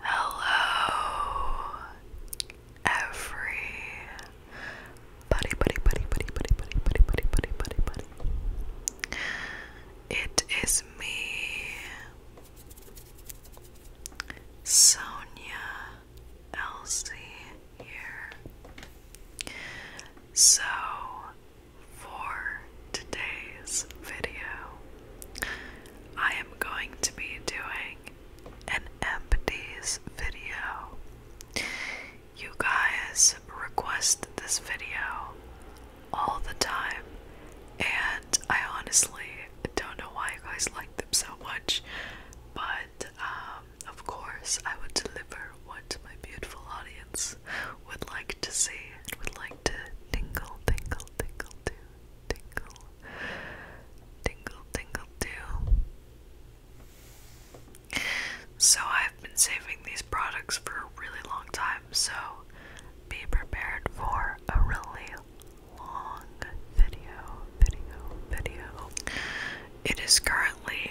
Hello, every buddy, buddy, buddy, buddy, buddy, buddy, buddy, buddy, buddy, buddy. It is me, Sonia Elsie, here. So, for today's video, I am going to be doing an empties video. You guys request this video all the time, and I honestly don't know why you guys like them so much, but um, of course, I would deliver what my beautiful audience would like to see and would like to tingle, tingle, tingle to tingle, tingle, tingle too. So I've been saving these products for a really long time, so be prepared for a really long video, video, video. It is currently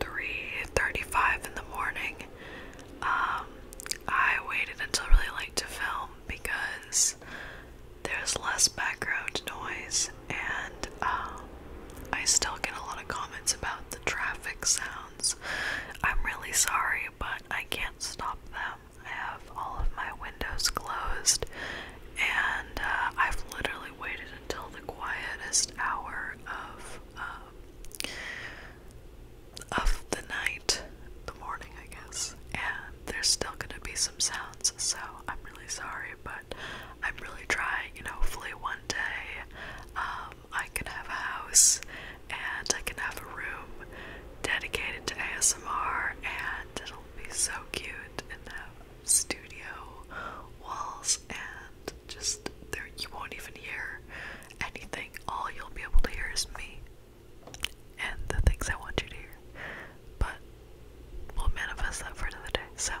3.35 in the morning. Um, I waited until really late to film because there's less background noise, and um, I still get a lot of comments about the traffic sounds. I'm really sorry, but I can't stop them. I have all of my windows closed, and uh, I've literally waited until the quietest hour of um, of the night, the morning, I guess, and there's still gonna be some sounds, so I'm really sorry, but I'm really trying, and hopefully, one day um, I can have a house and I can have a room dedicated to ASMR, and it'll be so cute in have studio walls and just there you won't even hear anything all you'll be able to hear is me and the things I want you to hear. But we'll manifest that for another day. So,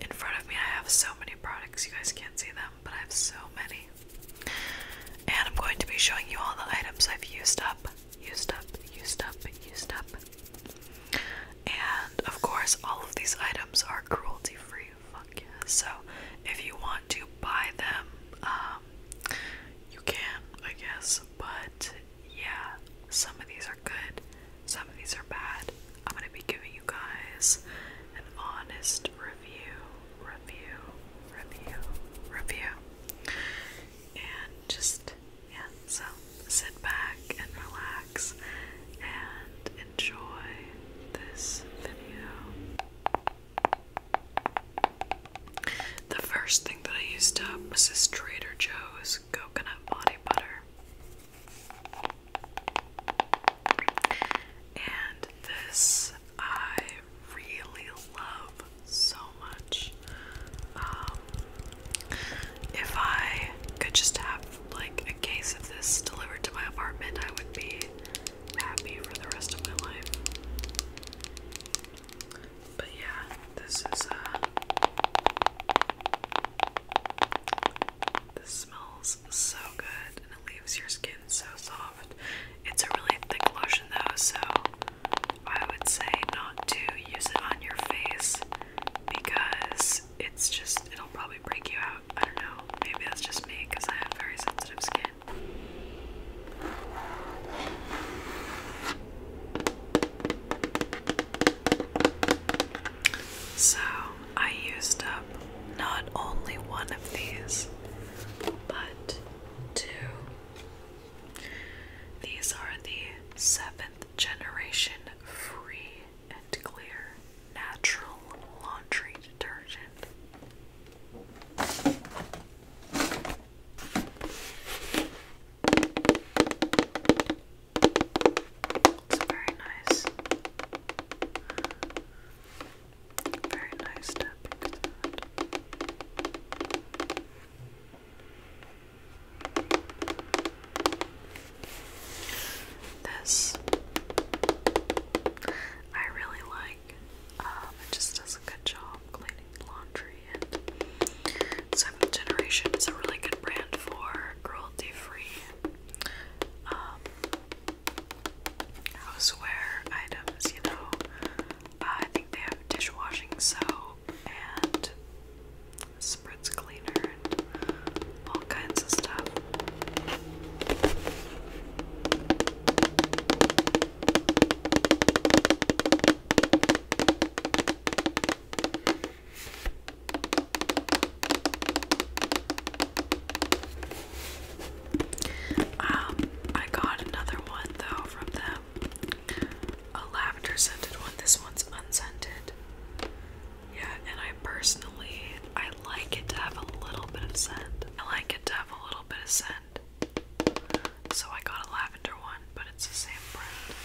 in front of me, I have so many products. You guys can't see them, but I have so many. And I'm going to be showing you all the items I've used up, used up, used up, used up. And of course, all of these items are cruelty free. So, if you want to buy them, um, you can, I guess, but yeah, some of these are good, some of these are bad. I'm gonna be giving you guys an honest review, review, review, review, and just yeah, so sit back and relax and enjoy this video. The first thing that I used up was this Trader Joe's coconut body butter. And this I really love so much. Um, if I could just have like a case of this delivered to my apartment, I would be happy for the rest of my life. But yeah, this is uh this smells so good and it leaves your skin so soft. It's a really thick lotion though, so I would say not to use it on your face because it's just it'll probably break you out. I don't know. Maybe that's just me because I have very sensitive skin. So I used up not only one of these, but two. These are the seventh generation free and clear natural laundry detergent. It's very nice. Very nice tapping This I really um, it just does a good job cleaning laundry and Seventh Generation is a really good brand for cruelty free um, houseware items, you know. Uh, I think they have dishwashing soap and spritz cleaner and all kinds of stuff. Um, I got another one though from them. A lavender scented one. This one's unscented. Yeah, and I personally I like it to have a little bit of scent. I like it to have a little bit of scent. So I got a lavender one, but it's the same brand.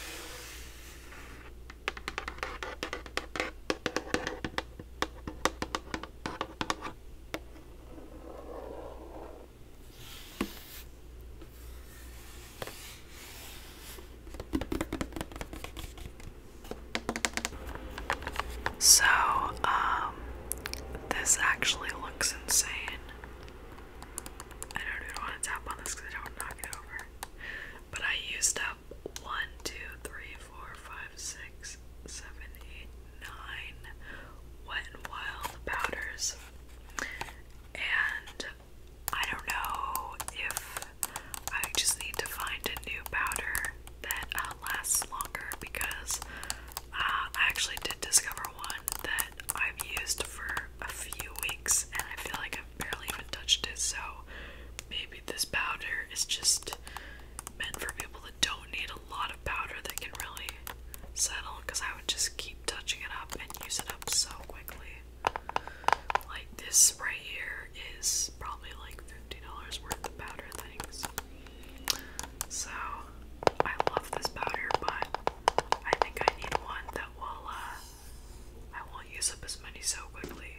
So, um, this actually looks insane. I don't even want to tap on this because I don't knock it over. But I used up 1, 2, 3, 4, 5, 6, 7, 8, 9 wet and wild powders. And I don't know if I just need to find a new powder that uh, lasts longer because uh, I actually did discover one that I've used for a few weeks, and I feel like I've barely even touched it. So maybe this powder is just meant for people that don't need a lot of powder that can really settle. Because I would just keep touching it up and use it up so quickly. Like this right here is probably like fifty dollars worth of powder things. So I love this powder, but I think I need one that will, uh, I won't use up his money so quickly.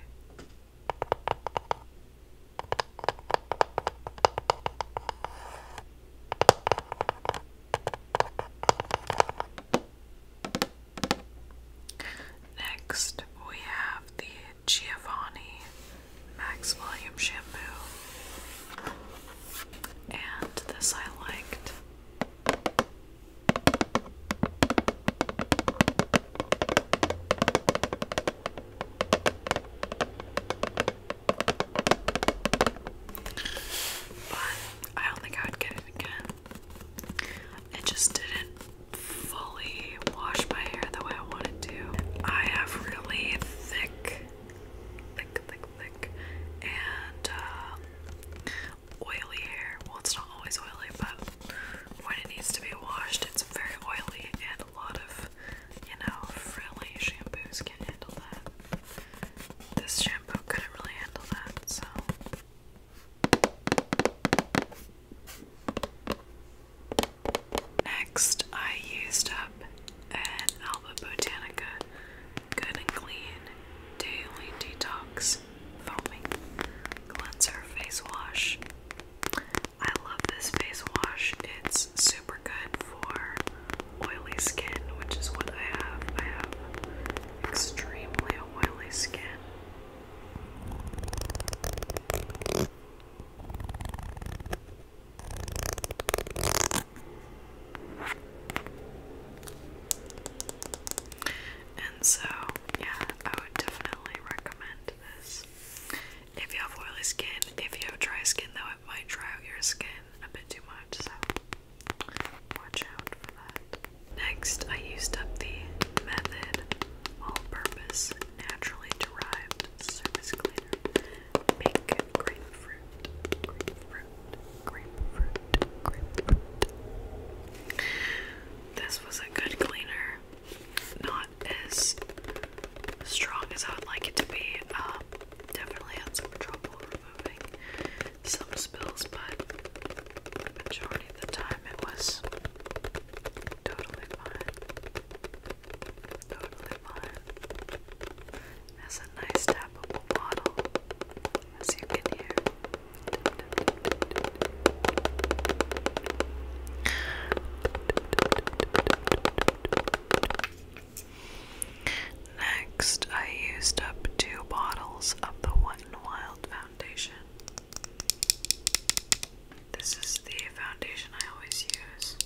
Next, we have the Giovanni Max Volume Shampoo and this I liked. But I don't think I would get it again. It just didn't fully wash my hair the way I wanted to. I have really thick, thick, thick, and uh, oily hair. Well, it's not always oily, but when it needs to be washed, it's very oily, and a lot of, you know, frilly shampoos can't handle that. This shampoo couldn't really handle that, so. Next, I used up an Alba Botanica Good and Clean Daily Detox Foaming Cleanser Face Wash. I love this face wash. It's super good for oily skin, which is what I have. I have extremely oily skin. And so, yeah, I would definitely recommend this. If you have oily skin, if you have dry skin, though, it might dry out your skin a bit too much, so watch out for that. Next, I used up the Method All Purpose Naturally Derived Surface Cleaner. This was a good cleaner, not as strong as I would like it to be. Um, definitely had some trouble removing some spills, but the majority of the time it was totally fine. Totally fine has a nice tappable bottle, as you can hear. Next, I used up two bottles of the One Wild foundation. This is the foundation I always use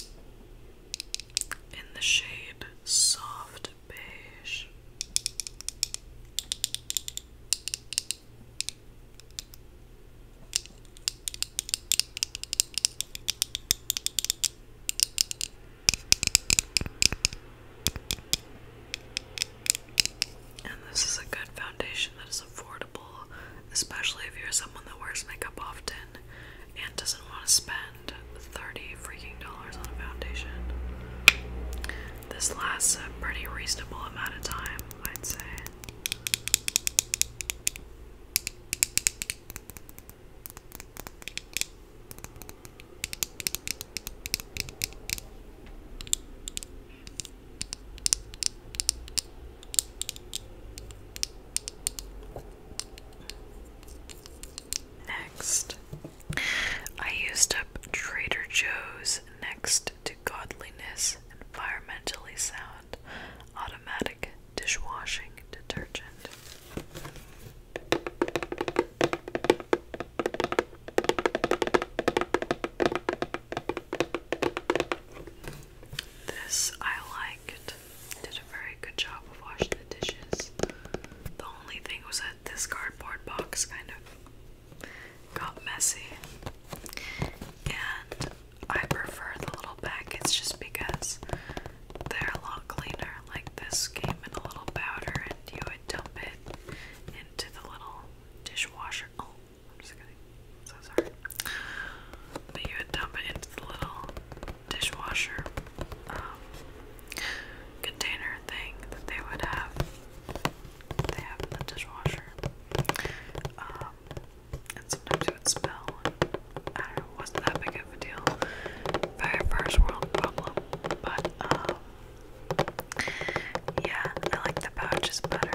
in the shade Soft and this is a good foundation that is affordable, especially if you're someone that wears makeup often and doesn't want to spend 30 freaking dollars on a foundation. This lasts a pretty reasonable amount of time, I'd say. Next, I used up Trader Joe's next to godliness, environmentally sound, automatic dishwashing detergent. This I liked. I did a very good job of washing the dishes. The only thing was that this cardboard box kind of got messy. And I prefer the little It's just because they're a lot cleaner. Like this came in a little powder and you would dump it into the little dishwasher. Oh, I'm just kidding. I'm so sorry. But you would dump it into the little dishwasher um, container thing that they would have. They have in the dishwasher. Um, and sometimes it would spill. I don't know, wasn't that big of a deal. Very first world problem. But, um, yeah, I like the pouches better.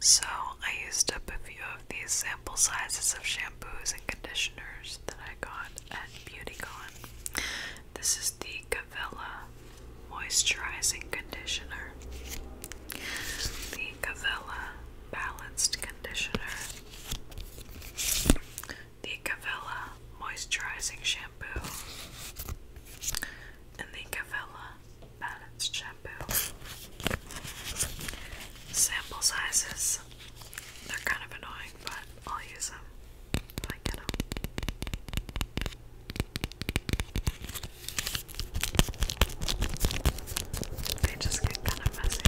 So, I used up a few of these sample sizes of shampoos and conditioners that I got at BeautyCon. This is the Cavella Moisturizing Conditioner, the Cavella Balanced Conditioner, the Cavella Moisturizing Shampoo, and the Cavella balanced shampoo. Sample sizes, they're kind of annoying, but I'll use them I get them. They just get kind of messy,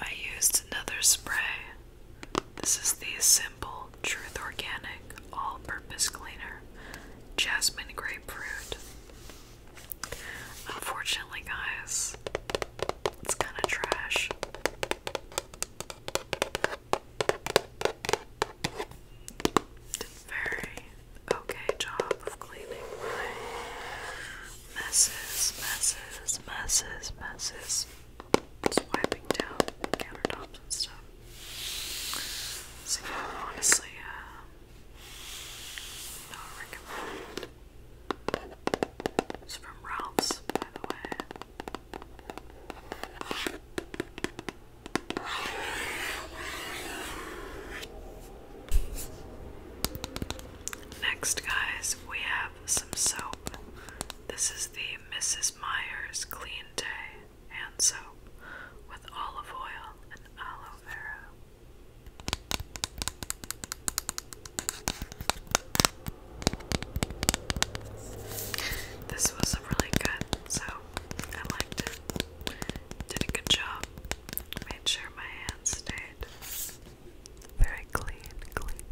I used another spray. This is the Simple Truth Organic All Purpose Cleaner Jasmine Grapefruit. Unfortunately, guys, it's kind of trash. Did very okay job of cleaning messes, messes, messes, messes. Swiping down countertops and stuff. So yeah, honestly, uh, not recommend. It's from Ralph's, by the way. Next, guys, we have some soap. This is the Mrs. Myers Clean Day Hand Soap with olive oil and aloe vera. This was really good, so I liked it. Did a good job. Made sure my hands stayed very clean, clean,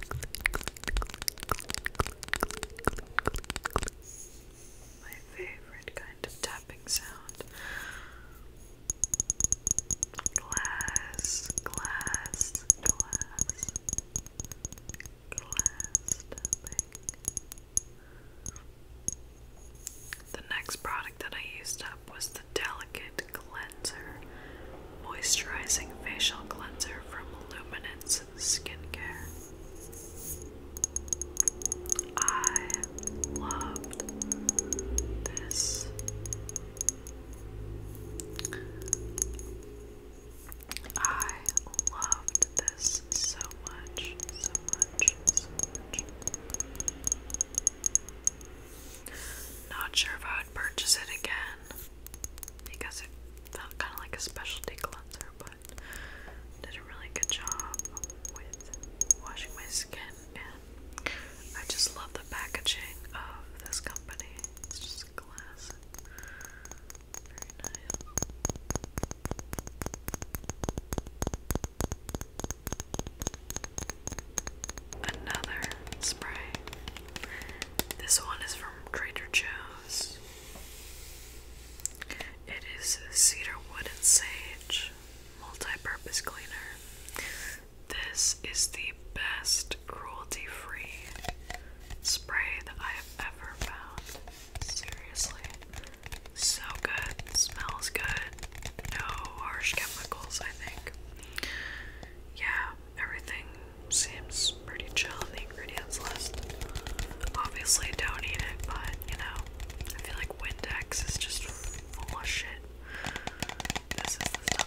My favorite kind of tapping sound glass, glass, glass, glass The next product that I used up was the Delicate Cleanser Moisturizing Facial Cleanser from Luminance Skincare. I loved this I loved this so much, so much, so much. Not sure if I would purchase it again because it felt kind of like a specialty cleanser, but did a really good job with washing my skin, and I just love the packaging of this company. It's just glass. Very nice. Another spray. This one is from Trader Joe's. It is cedar wood and sage multi-purpose cleaner. This is the best cruelty free spray that I have ever found. Seriously. So good. Smells good. No harsh chemicals, I think. Yeah, everything seems pretty chill in the ingredients list. Obviously, don't eat it, but you know, I feel like Windex is just full of shit. This is the stuff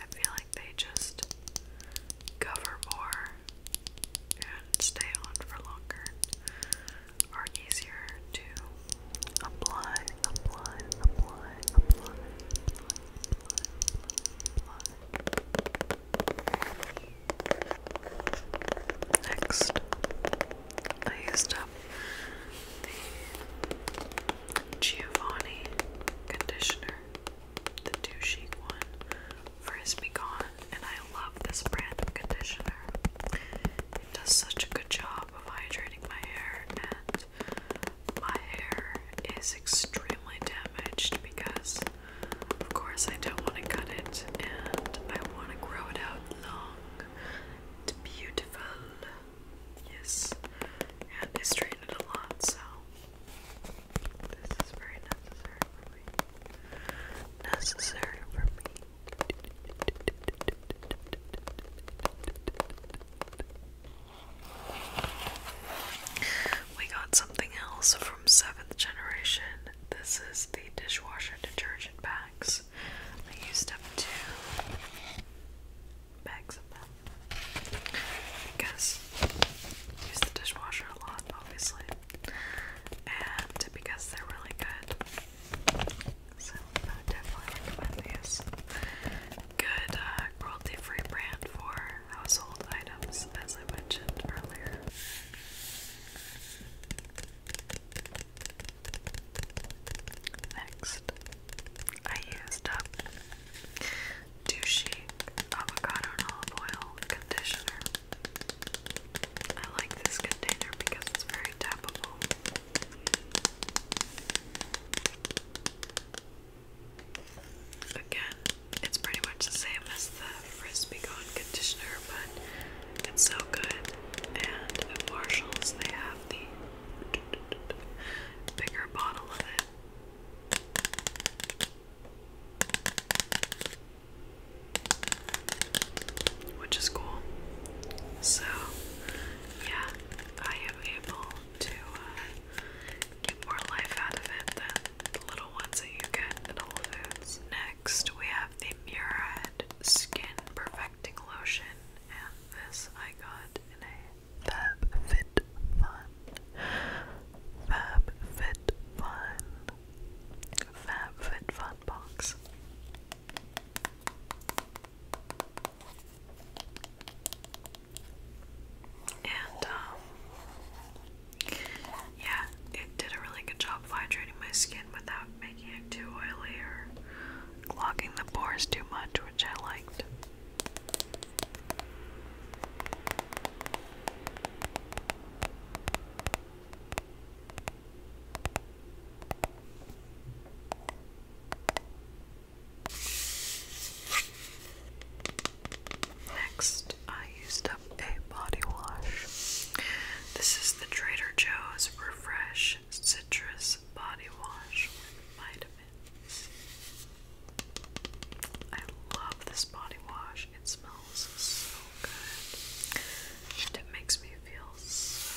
I feel like they just cover more and stay on for longer, are easier to apply, apply, apply, apply, Next, I used up the Giovanni conditioner, the two chic one, Frizz Be Gone, and I love this brand of conditioner. It does such a good job of hydrating my hair, and my hair is extremely damaged because, of course, I don't want to cut it and I want to grow it out long. It's beautiful yes, and it's treated a lot, so this is very necessary for me. Necessary for me. We got something else from 7th Generation. This is the dishwasher detergent bags. I used up too bags of them because I use the dishwasher a lot, obviously, and because they're really good. So definitely recommend these. Good uh, cruelty-free brand for household items, as I mentioned earlier. Next, I used up Douchey avocado and olive oil conditioner. I like this conditioner because it's very tapable. Again, it's pretty much the same as the Frisbee Gone conditioner, but it's so good. And Marshalls, they have the bigger bottle of it. Which is cool. So, yeah, I am able to uh, get more life out of it than the little ones that you get at Whole Foods. Next, we have the Murad Skin Perfecting Lotion, and this I got in a Fab Fit Fun, Fab Fit Fun, Fab Fit Fun box. And, um, yeah, it did a really good job of hydrating my skin without making it too oily or clogging the pores too much, which I liked. Next, I used up a body wash. This is the Trader Joe's Refresh Citrus Body Wash it. I love this body wash. It smells so good. it makes me feel so,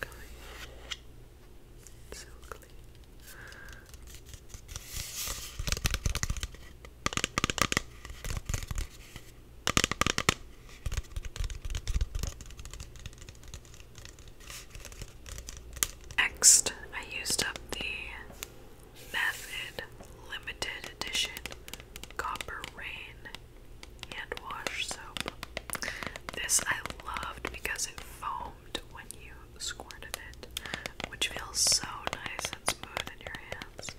good. So Next, I used up the Method Limited Edition Copper Rain hand wash soap. This I loved because it foamed when you squirted it, which feels so nice and smooth in your hands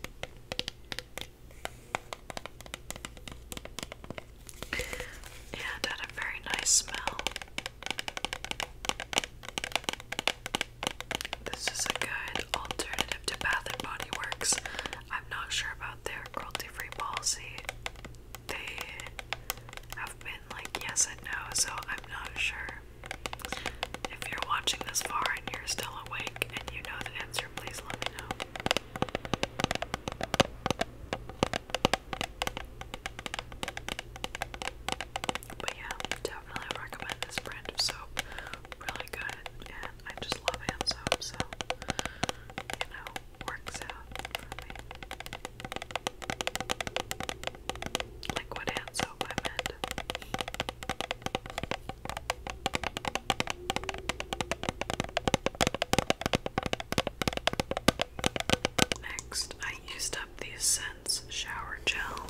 and had a very nice smell. This is a good alternative to Bath and Body Works. I'm not sure about their cruelty-free policy. They have been like yes and no, so I'm not sure. If you're watching this far and you're still awake and you know the answer, please let me know. But yeah, definitely recommend this brand of Really good, and I just love hand soap, so you know, works out Liquid hand soap, I Next, I used up the Essence Shower Gel.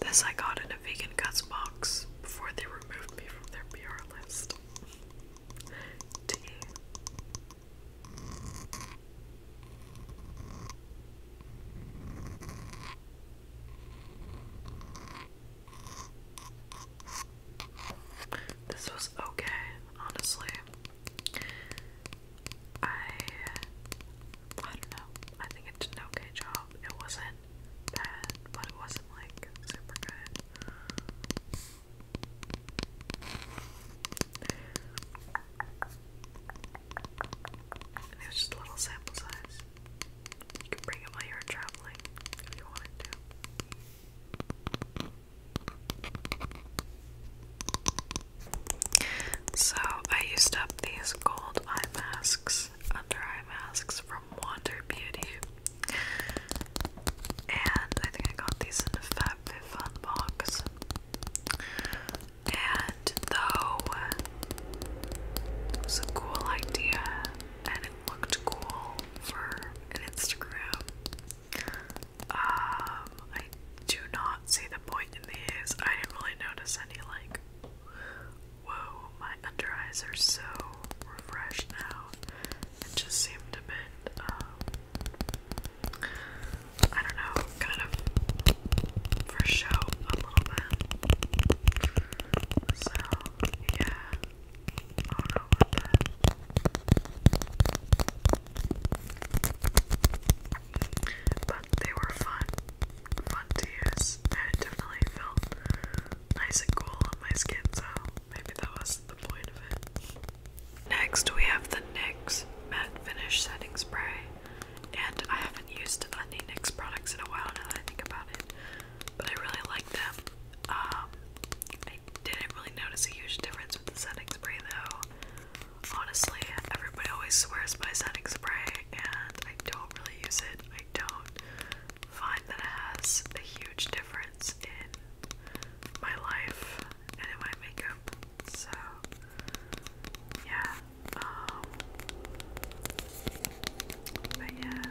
This I got in a vegan cuts box before they removed me from their PR list. Tea. This was okay, honestly. I I don't know. I think it did an okay job. It wasn't bad, but it wasn't like super good. it was just a little sample size. You can bring it while you're traveling if you wanted to. So I used up these gold eye masks, under eye masks from Wonder Beauty. And I think I got these in a Fat Fun box. And though it was a cool idea and it looked cool for an Instagram um, I do not see the point in these. I didn't really notice any, like, whoa, my under eyes are so refreshed now. It just seemed a bit, um, I don't know, kind of for show a little bit. So, yeah. But they were fun. Fun to use. And definitely felt nice and cool on my skin, so maybe that was the point of it. Next, we have the NYX Matte Finish Setting Spray. And I haven't used any NYX products in a while now that I think about it, but I really like them. Um, I didn't really notice a huge difference with the setting spray though. Honestly, everybody always swears by setting spray, and I don't really use it. I don't find that it has a huge difference in my life and in my makeup. So, yeah. Um, but yeah,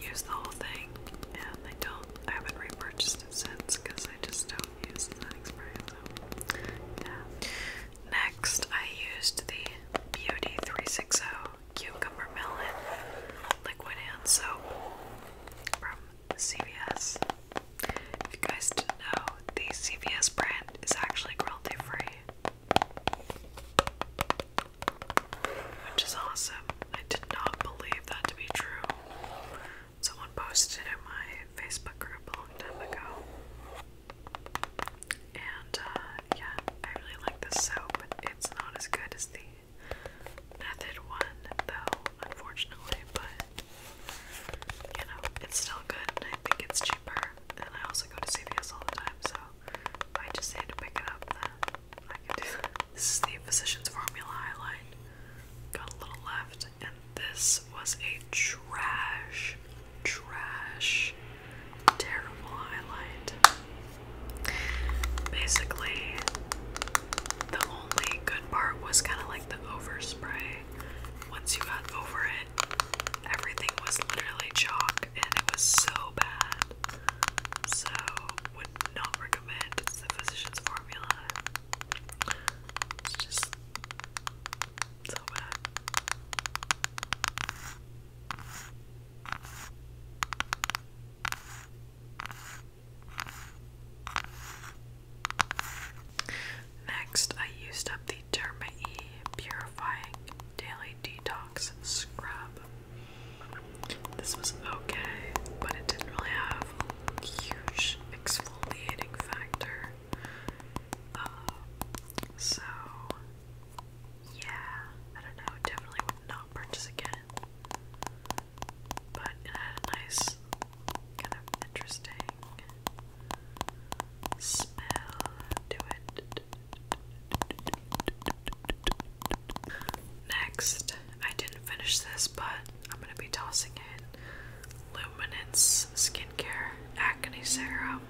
use the whole thing, and I don't. I haven't repurchased it since because I just don't use the spray. So yeah. Next, I used the Beauty 360 Cucumber Melon Liquid Hand Soap from CVS. If you guys didn't know, the CVS brand is actually cruelty free, which is awesome. I did not believe that to be true Someone posted in my Facebook group a long time ago. And uh, yeah, I really like this soap. It's not as good as the Method one, though, unfortunately, but you know, it's still good and I think it's cheaper. And I also go to CVS all the time, so if I just had to pick it up, then this is the Physicians Formula highlight. Got a little left, and this was a trash, trash, terrible highlight. Basically, the only good part was kind of like the overspray. Once you got over it, everything was literally chalk, and it was so bad. So, would not recommend. the Physicians Formula. Next, I used up the Derma E Purifying Daily Detox Scrub. This was okay, but it didn't really have a huge exfoliating factor. Uh, so, yeah, I don't know, definitely would not purchase again. But it had a nice, kind of interesting smell to it. Next, I didn't finish this, but I'm going to be tossing it. Luminance Skincare Acne Serum.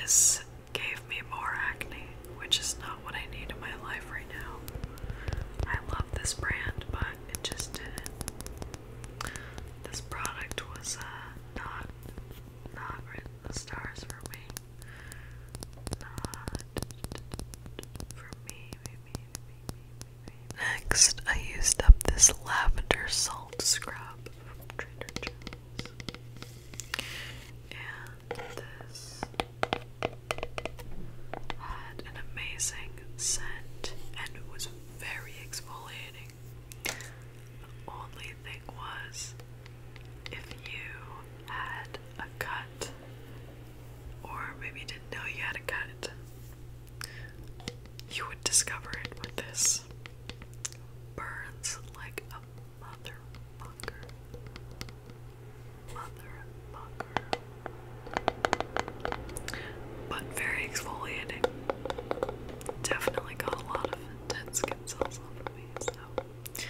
This gave me more acne, which is not what I need in my life right now. I love this brand, but it just didn't. This product was uh, not not written the stars for me. Not for me, Next, I used up this lavender salt scrub from Trader Joe's. And this had an amazing scent and it was very exfoliating. The only thing was, if you had a cut or maybe you didn't know you had a cut, you would discover it with this. Burns like a motherfucker. Motherfucker. But very exfoliating. Definitely got a lot of dead skin cells off of me, so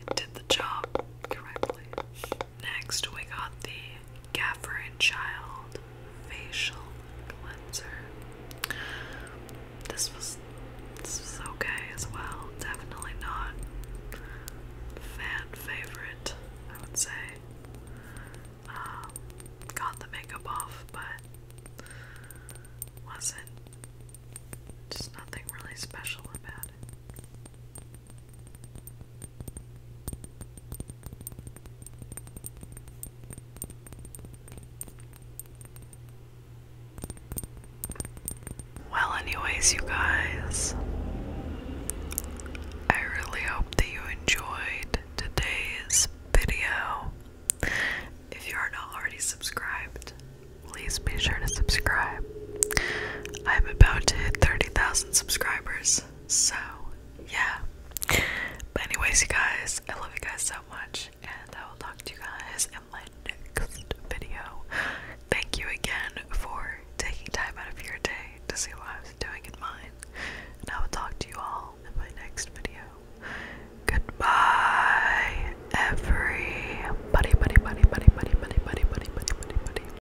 it did the job correctly. Next, we got the Gaffer and Child facial cleanser. This was this was okay as well. Definitely not fan favorite, I would say. Um, got the makeup off, but wasn't just nothing really special about it. Well, anyways, you guys, I really hope that you enjoyed today's video. If you are not already subscribed, please be sure to subscribe. I'm about to hit 30,000 subscribers, so, yeah. But, anyways, you guys, I love you guys so much, and I will talk to you guys in my next video. Thank you again for taking time out of your day to see what I was doing in mine, and I will talk to you all in my next video. Goodbye, every buddy, buddy, buddy, buddy, buddy, buddy, buddy, buddy, buddy, buddy.